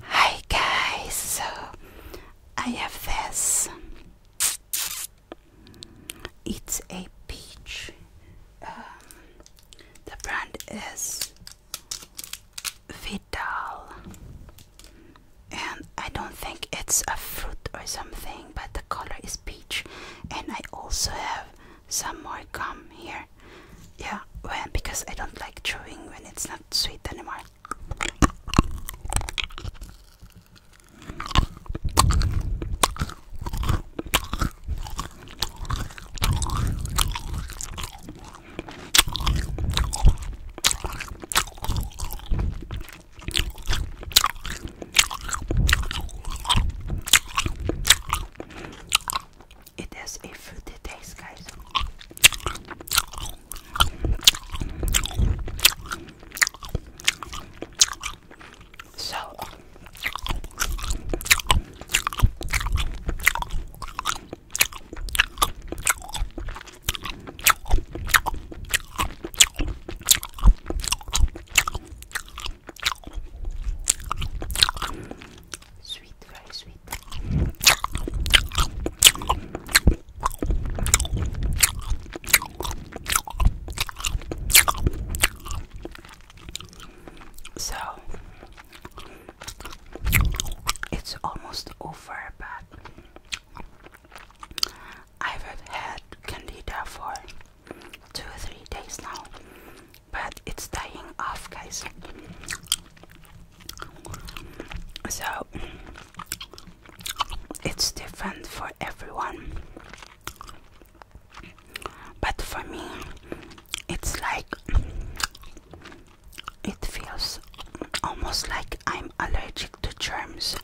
Hi guys, so I have this. It's a peach. Um, the brand is Vital, and I don't think it's a fruit or something, but the color is peach. And I also have some more gum here. Yeah, when because I don't like chewing when it's not sweet anymore. It is a fruity taste, guys. So, sweet, very sweet. So it's almost over, but I've had candida for two three days now, but it's dying off, guys. So it's different for everyone, but for me, it's like it feels almost like I'm allergic to germs.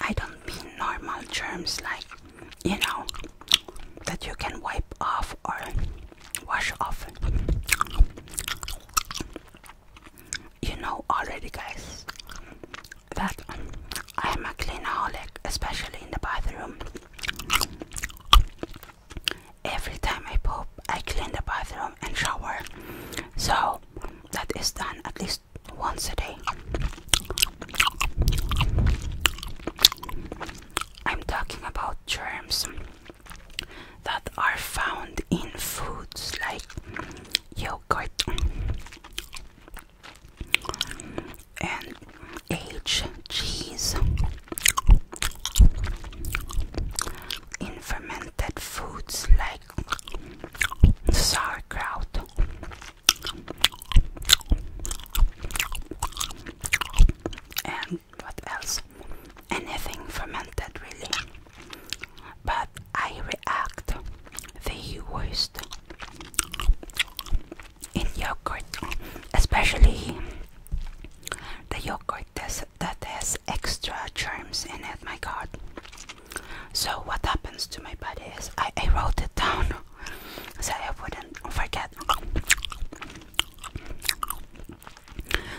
I don't mean normal germs like you know, that you can wipe off or wash off. You know already, guys, that I am a cleanaholic, especially in the bathroom. Every time I poop, I clean the bathroom and shower. So that is done at least once a day. I'm talking about germs that are found in foods like yogurt and aged cheese, in fermented foods like sauerkraut and what else? Anything fermented, really. But I react the worst in yogurt, especially the yogurt that has extra germs in it. My God! So what happens to my body is I, I wrote it down so I wouldn't forget.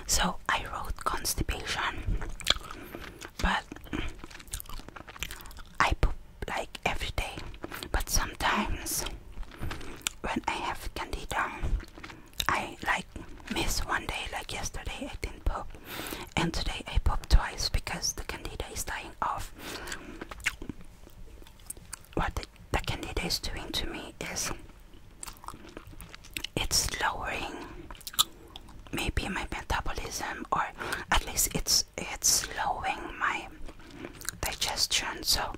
So I wrote constipation, but I poop like every day. But sometimes when I have candida, I like miss one day. Like yesterday, I didn't poop, and today I pooped twice because the candida is dying off what the, the is doing to me is it's lowering maybe my metabolism or at least it's it's slowing my digestion so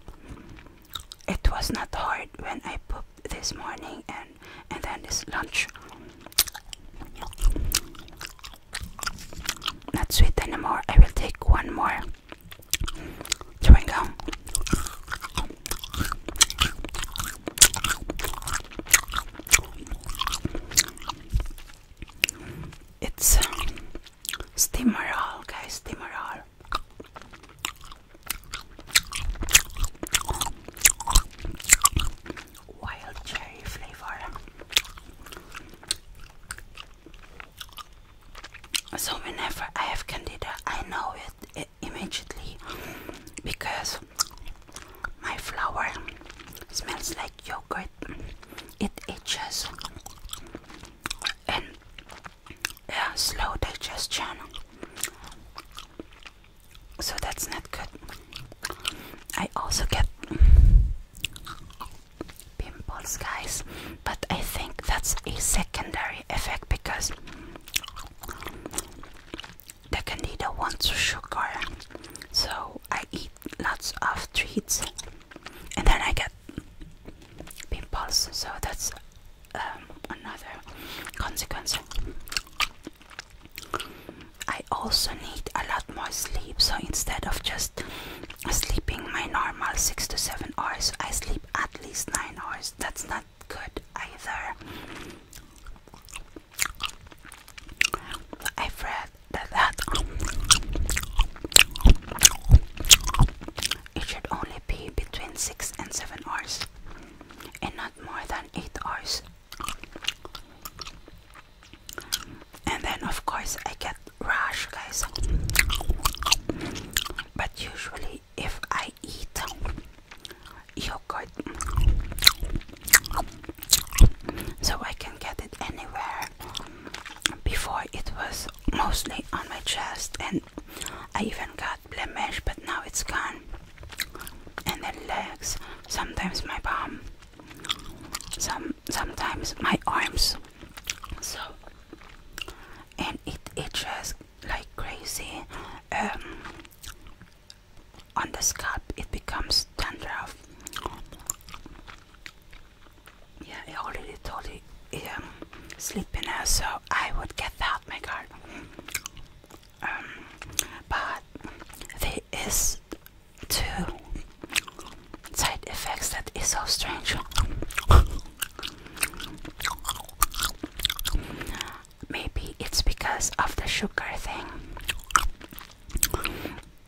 it was not hard when I pooped this morning and and then this lunch not sweet anymore. I will take one more chewing gum. It's um, Steamerol, guys, Steamerol. Wild cherry flavor. So whenever I have candida, I know it, immediately because my flour smells like yogurt. It itches and yeah, slow digestion. So that's not good. I also get pimples, guys. But I think that's a secondary effect because the candida wants sugar, so I eat lots of treats, and then I get pimples. So that's um, another consequence. I also need a lot more sleep, so instead of just sleeping my normal six to seven hours. I sleep at least nine hours. That's not good either. i read that, that it should only be between six and seven hours and not more than eight hours. And then, of course, I get rush, guys. But usually, if I eat you yogurt, so I can get it anywhere. Before it was mostly on my chest, and I even got blemish, but now it's gone. And the legs, sometimes my bum, some sometimes my arms so and it itches like crazy um, on the scalp it becomes dandruff yeah I already told you um, sleepiness so I would get that my god um, but there is to side effects that is so strange. Maybe it's because of the sugar thing.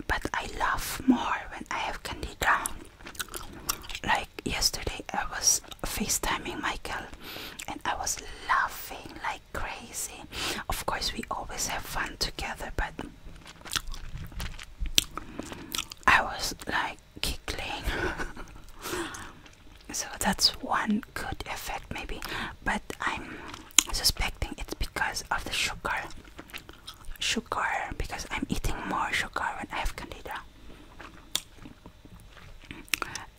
But I laugh more when I have candy Like yesterday, I was FaceTiming Michael and I was laughing like crazy. Of course, we always have fun together, but I was like giggling. so that's one good effect, maybe. But I'm suspecting it's because of the sugar. Sugar, because I'm eating more sugar when I have candida.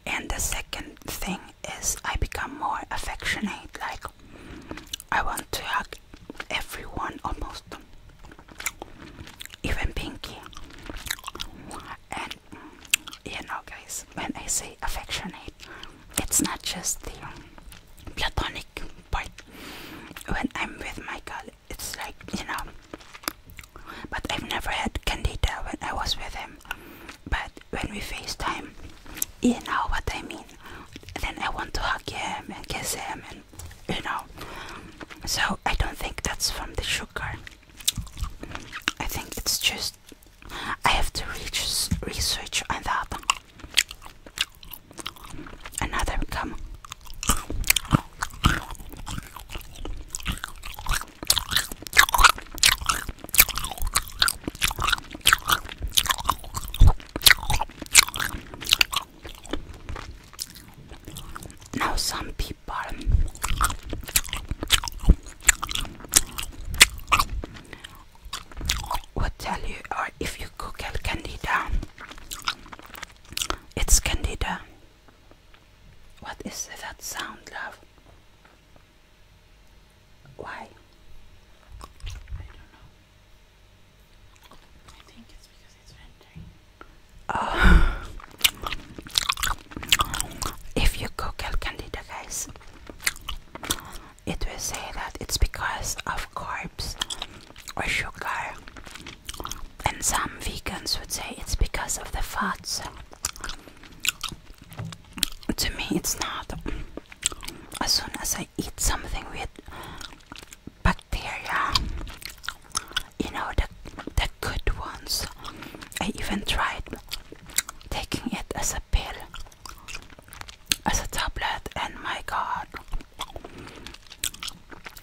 And the second thing is, I become more affectionate. Like, I want to hug everyone almost, even Pinky. And you know, guys, when I say affectionate, it's not just the platonic part. When I'm with my colleague, it's like you know. But I've never had Candida when I was with him. But when we FaceTime, you know what I mean. Then I want to hug him and kiss him and you know. So I don't think that's from the sugar. I think it's just I have to research research on that. Another come. Now, some people would tell you, or if you Google Candida, it's Candida. What is that sound, love? Why? I don't know. if you Google Candida, guys, it will say that it's because of carbs or sugar, and some vegans would say it's because of the fats. To me, it's not. As soon as I eat something with bacteria. You know the the good ones. I even tried taking it as a pill, as a tablet, and my God,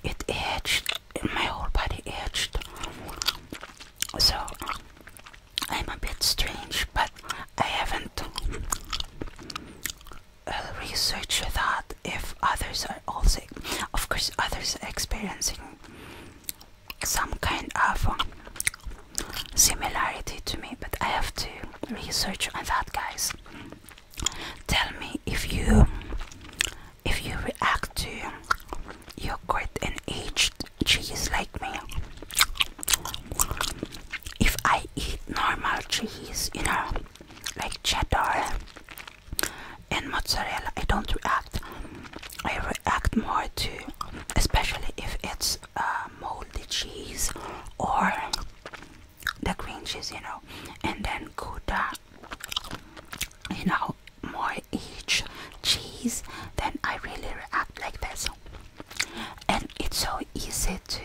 it itched. My whole body itched. So I'm a bit strange, but I haven't research that if others are also, of course, others are experiencing some kind of um, similarity to me, but I have to research on that, guys. Tell me if you if you react to yogurt and aged cheese like me. If I eat normal cheese, you know, like cheddar and mozzarella I don't react I react more to especially if it's uh, moldy cheese or the green cheese you know and then gouda you know more each cheese then I really react like this and it's so easy to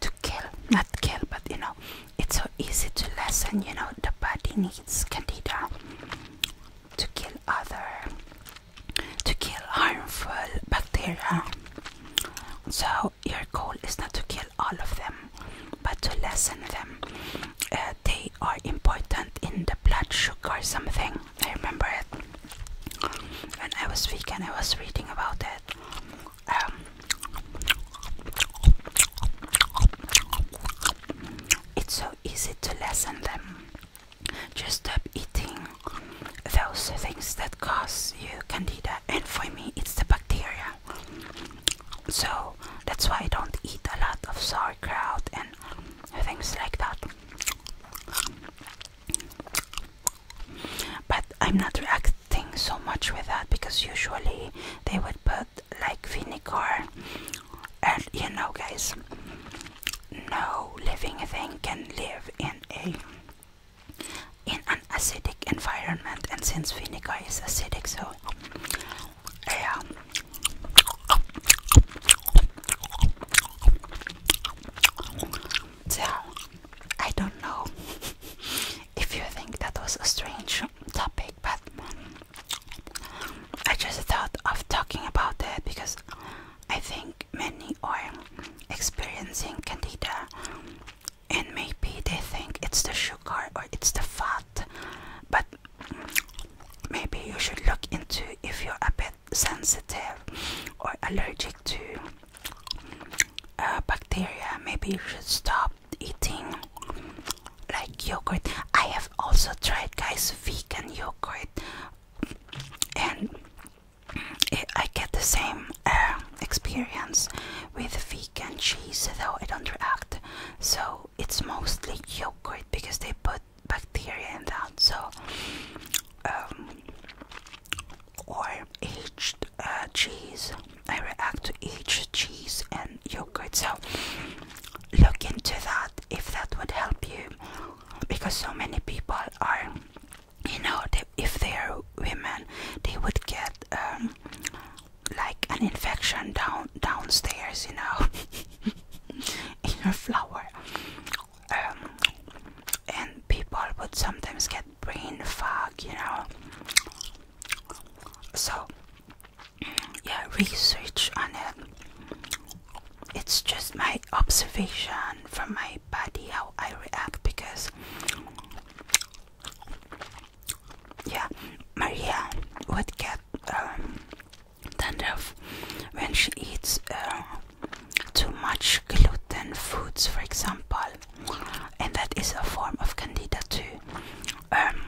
to kill, not kill, but you know, it's so easy to lessen. You know, the body needs candida to kill other, to kill harmful bacteria. So your goal is not to kill all of them, but to lessen them. Uh, they are important in the blood sugar something. I remember it when I was weak, and I was reading about it. Um, it's so easy to lessen them. Just stop eating those things that cause you candida, and for me, it's the bacteria. So that's why I don't eat a lot of sauerkraut and things like that. But I'm not reacting so much with that because usually they would put like vinegar, and you know, guys, no living thing can live in a in an acidic environment, and since vinegar is acidic, so yeah tell. I don't know if you think that was a strange topic, but I just thought of talking about that because I think many are experiencing candida, and maybe they think it's the sugar or it's the fat, but maybe you should look into if you're a bit sensitive or allergic to uh, bacteria. Maybe you should stop eating like yogurt. I have also tried, guys, vegan yogurt, and I get the same uh, experience with vegan cheese, though I don't react. So it's mostly yogurt because they put bacteria in that. So. Um, or aged uh, cheese. I react to each cheese and yogurt. So look into that if that would help you, because so many people are, you know, if they are women, they would get um, like an infection down downstairs, you know, in her flower. Um, and people would sometimes get brain fog, you know. So, yeah, research on it. It's just my observation from my body how I react because, yeah, Maria would get tender um, when she eats uh, too much gluten foods, for example and that is a form of candida too. Um,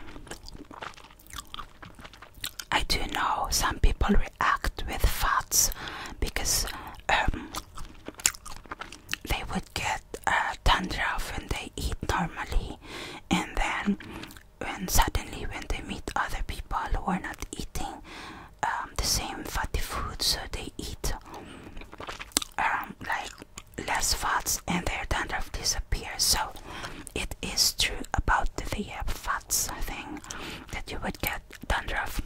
I do know some people react with fats because um, they would get a tundra when they eat normally, and then when suddenly when they meet other people who are not eating um, the same fatty foods, they eat um, like less fats and their dandruff disappears. So it is true about the uh, fats thing that you would get dandruff.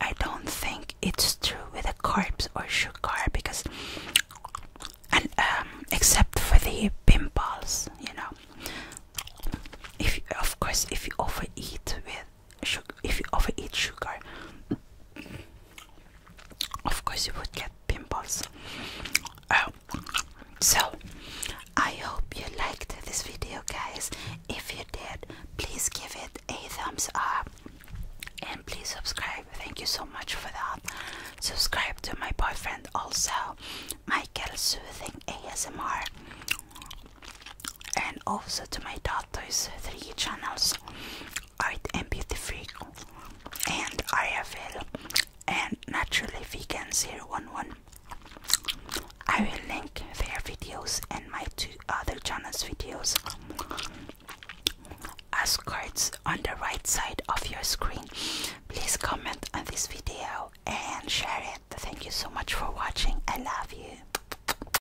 I don't think it's true with the carbs or sugar because, and um, except for the pimples, you know. If you, of course, if you overeat with sugar, if you overeat sugar, of course you would get pimples. Um, so, I hope you liked this video, guys. If you did, please give it a thumbs up and please subscribe. Thank you so much for that. Subscribe to my boyfriend also, Michael Soothing ASMR and also to my daughter's three channels art and beauty free and IFL and naturally we can vegan 011 I will link their videos and my two other channels videos as cards on the right side of your screen please comment on this video and share it thank you so much for watching i love you